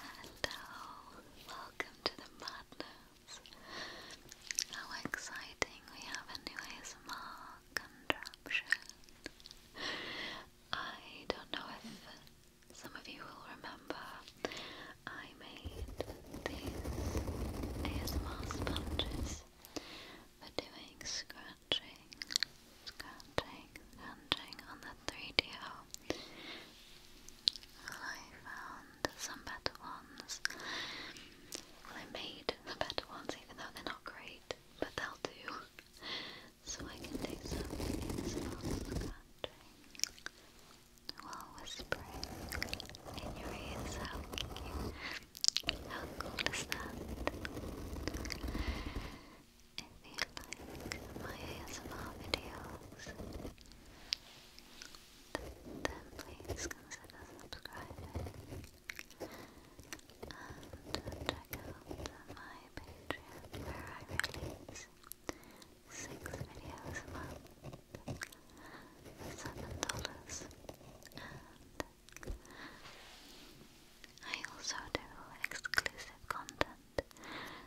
Hello, welcome to the madness. How exciting, we have a new ASMR contraption. I don't know if some of you will remember, I made these ASMR sponges for doing scratching, scratching, scratching on the 3DO well, I found some better ones. I made the better ones, even though they're not great, but they'll do. So I can do something in this in your ears. How cute! is that? If you like my ASMR videos, then please consider subscribing and check out my Patreon where I release six videos a month seven dollars I also do exclusive content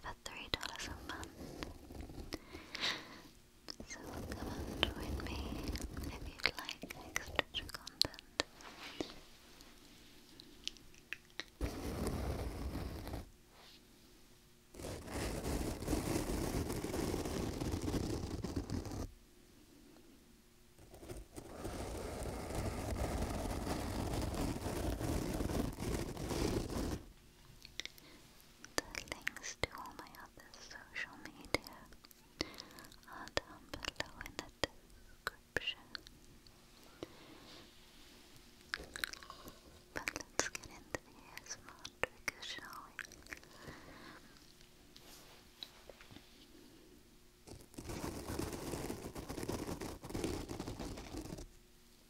for three dollars a month. So come and join me if you'd like extra content. The links to all my other social media are down below in the description. But let's get into the ASMR trigger, shall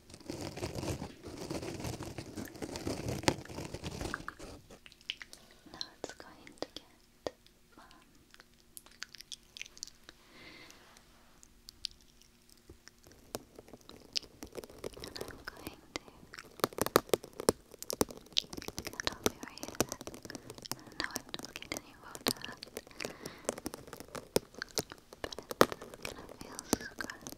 Now it's going to get fun. And I'm going to cut off your hair. I'm not getting any water. But it's gonna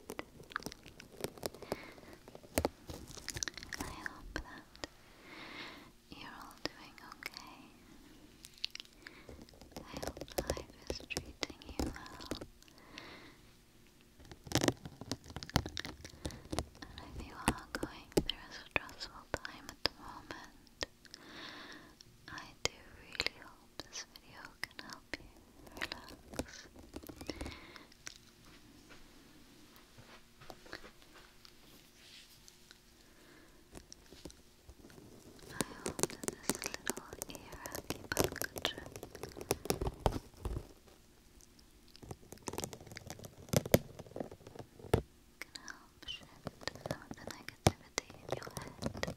I hope that you're all doing okay. I hope life is treating you well. And if you are going through a stressful time at the moment, I do really hope this video can help you relax. I hope that this little ear acupuncture can help shift some of the negativity in your head.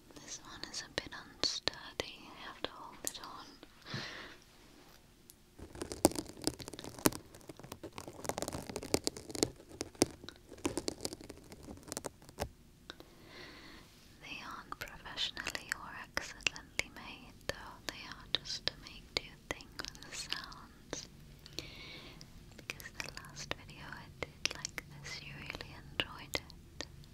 This one is a bit unsturdy, I have to hold it on. They aren't professionally or accidentally made, though they are just to make do thing with sounds. Because the last video I did like this, you really enjoyed it.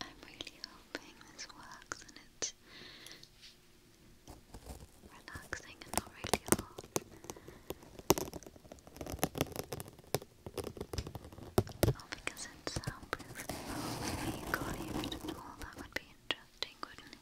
I'm really hoping this works and it's relaxing and not really hard. Oh, because it's soundproof. Oh, maybe you can it all. That would be interesting, wouldn't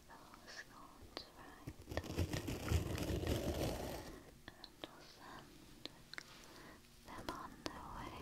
those thoughts right and we'll send them on their way.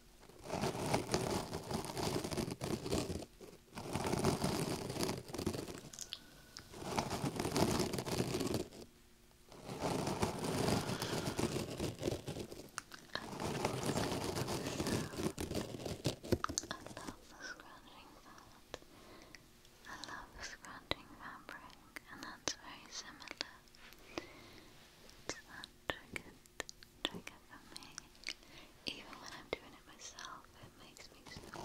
I love scratching fabric, and that's very similar to that trigger for Even when I'm doing it myself, it makes me so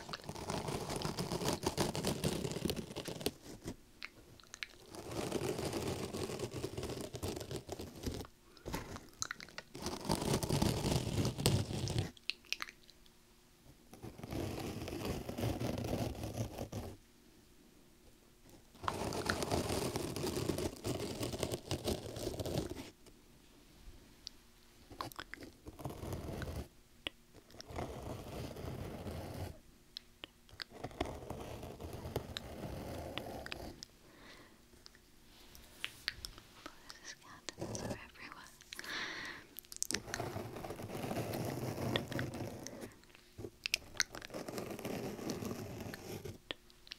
Skeletons are everywhere. Good. Good. Good.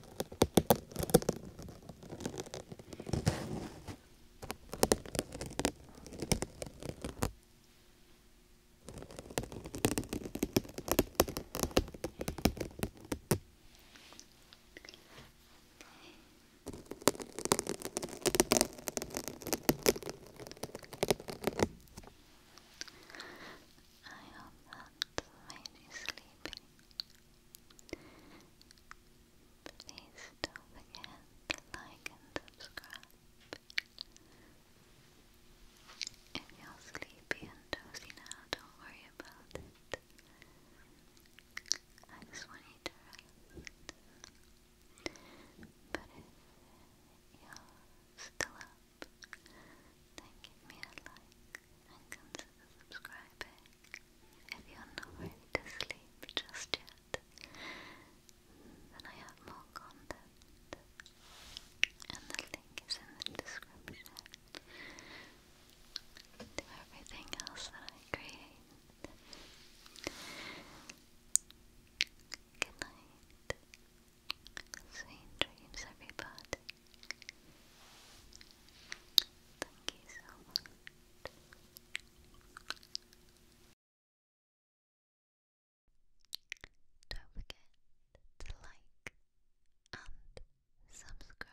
I hope that made you sleepy. Please don't forget to like and subscribe. If you're sleepy and dozy now, don't worry about it. I just want you to rest. But if you're still up, then give me a like and consider subscribing. If you're not ready to sleep just yet, then I have more content, and the link is in the description to everything else that I create. Good night. Sweet dreams, everybody. Thank you so much. Don't forget to like and subscribe.